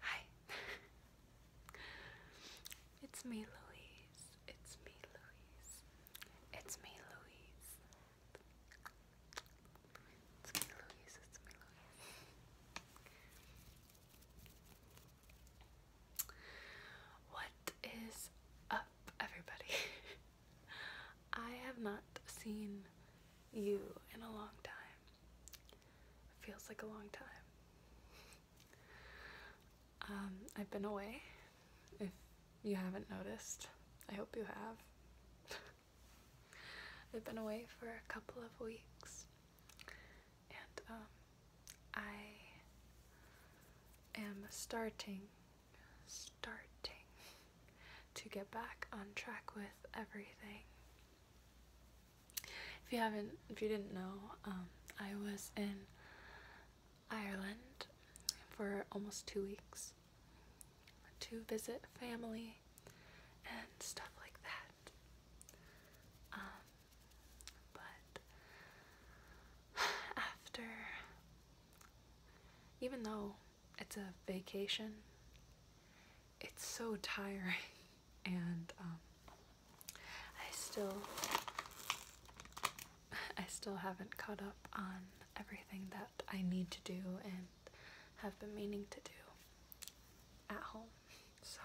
Hi. it's me, Louise. It's me, Louise. It's me, Louise. It's me, Louise. It's me, Louise. What is up, everybody? I have not seen you in a long time. Feels like a long time. Um, I've been away. If you haven't noticed, I hope you have. I've been away for a couple of weeks, and um, I am starting, starting to get back on track with everything. If you haven't, if you didn't know, um, I was in Ireland for almost two weeks to visit family and stuff like that. Um, but after, even though it's a vacation, it's so tiring, and um, I still, I still haven't caught up on everything that I need to do and have been meaning to do at home. So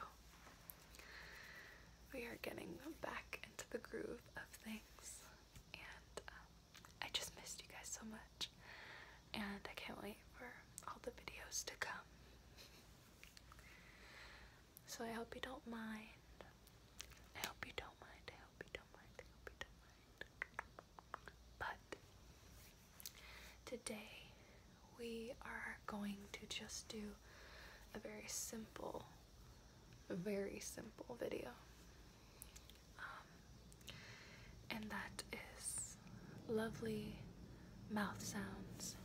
we are getting back into the groove of things, and um, I just missed you guys so much, and I can't wait for all the videos to come. So I hope you don't mind. I hope you don't mind. I hope you don't mind. I hope you don't mind. But today we are going to just do a very simple, very simple video. Um, and that is lovely mouth sounds.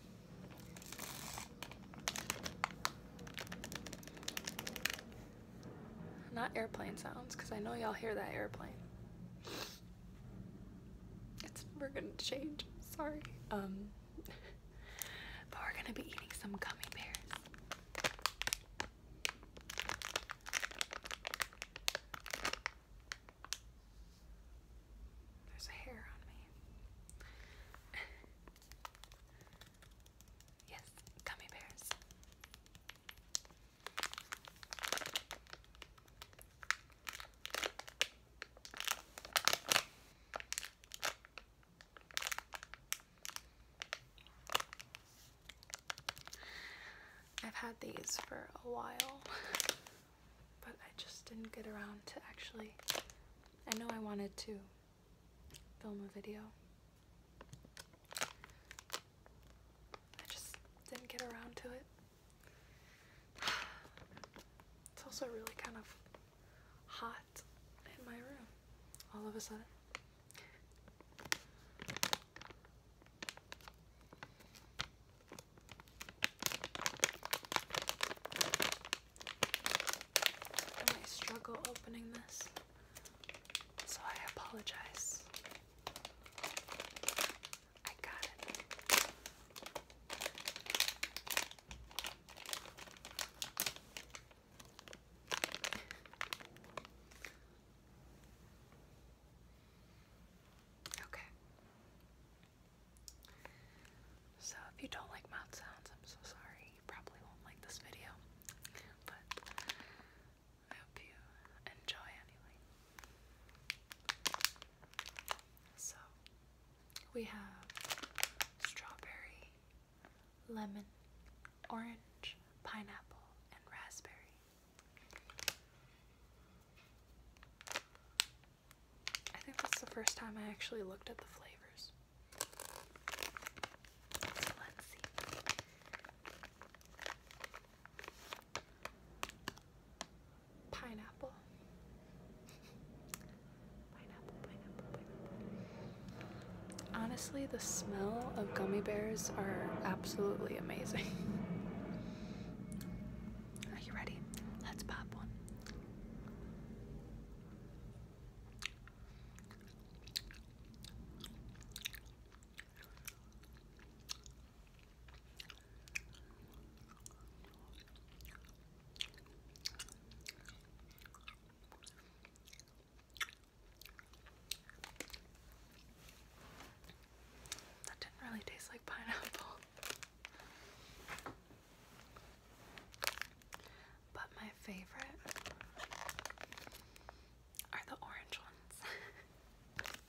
Not airplane sounds, because I know y'all hear that airplane. It's never gonna change, sorry. Um, but we're gonna be eating some gummy bears. There's a hair on me. yes, gummy bears. I've had these for a while, but I just didn't get around to actually. I know I wanted to film a video. I just didn't get around to it. It's also really kind of hot in my room all of a sudden. I struggle opening this, so I apologize. I got it. Okay. So if you don't like mouth sounds, I'm so sorry. You probably won't like this video. But I hope you enjoy anyway. So we have strawberry, lemon, orange, pineapple, and raspberry. I think that's the first time I actually looked at the flavors. Pineapple. Honestly, the smell of gummy bears are absolutely amazing. Are you ready? Let's pop one. That didn't really taste like pineapple. But my favorite are the orange ones.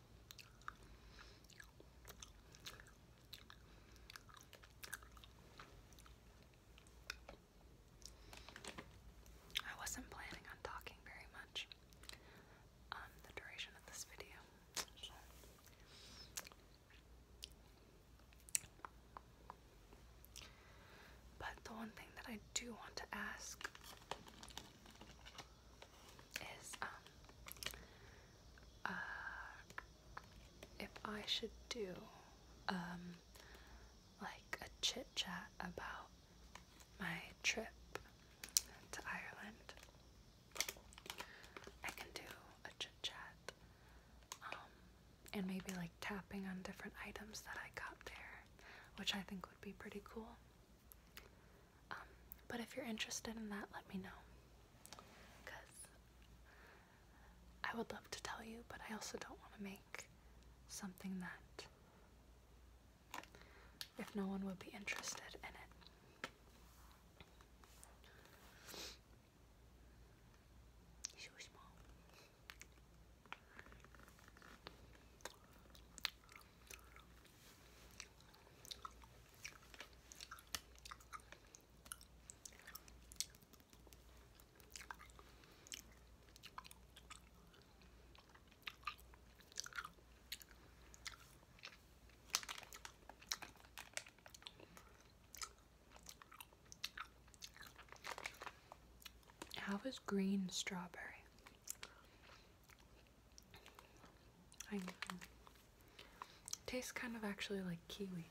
I wasn't planning on talking very much on the duration of this video. But the one thing that I do want to ask is um uh if I should do um like a chit chat about my trip to Ireland. I can do a chit chat. Um and maybe like tapping on different items that I got there, which I think would be pretty cool. Um, but if you're interested in that, let me know. Because I would love to tell you, but I also don't want to make something that, if no one would be interested in it. How was green strawberry? tastes kind of actually like kiwi.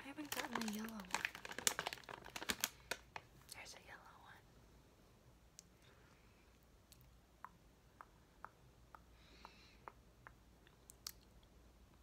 I haven't gotten a yellow one. There's a yellow one.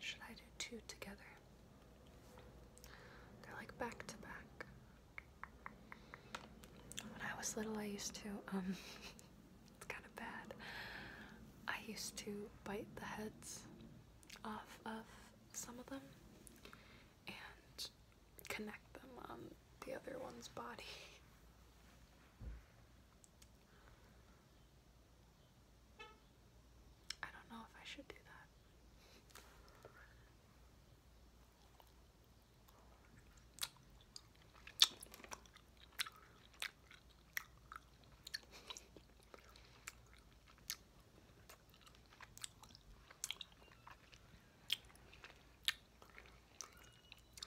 Should I do two together? They're like back to back. When I was little, I used to, um, it's kind of bad. I used to bite the heads off of some of them and connect them on the other one's body. I don't know if I should do that.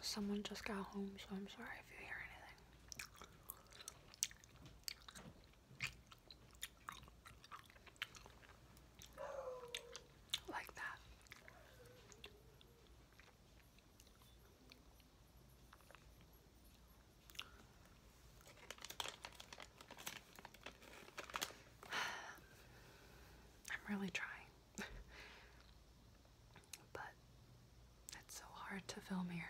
Someone just got home, so I'm sorry if you hear anything. Like that. I'm really trying. but it's so hard to film here.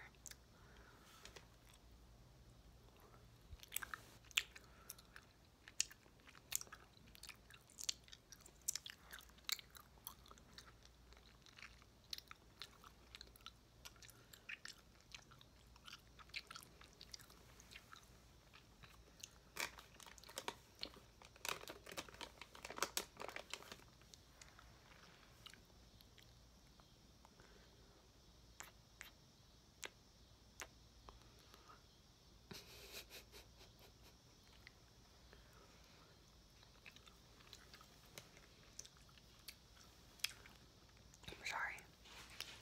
I'm sorry.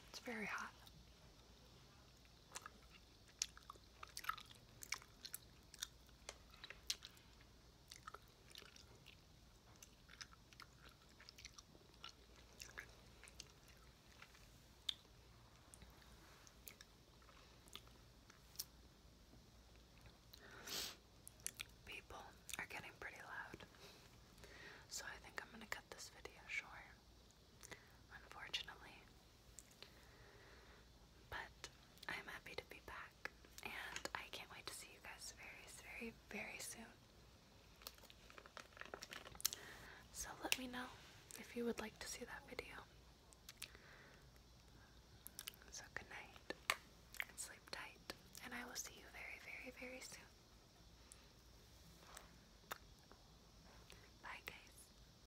It's very hot. People are getting pretty loud, so I think I'm going to cut this video short. Unfortunately, but I'm happy to be back, and I can't wait to see you guys very, very, very soon. So let me know if you would like to see that video. So good night, and sleep tight, and I will see you very, very, very soon. Bye, guys.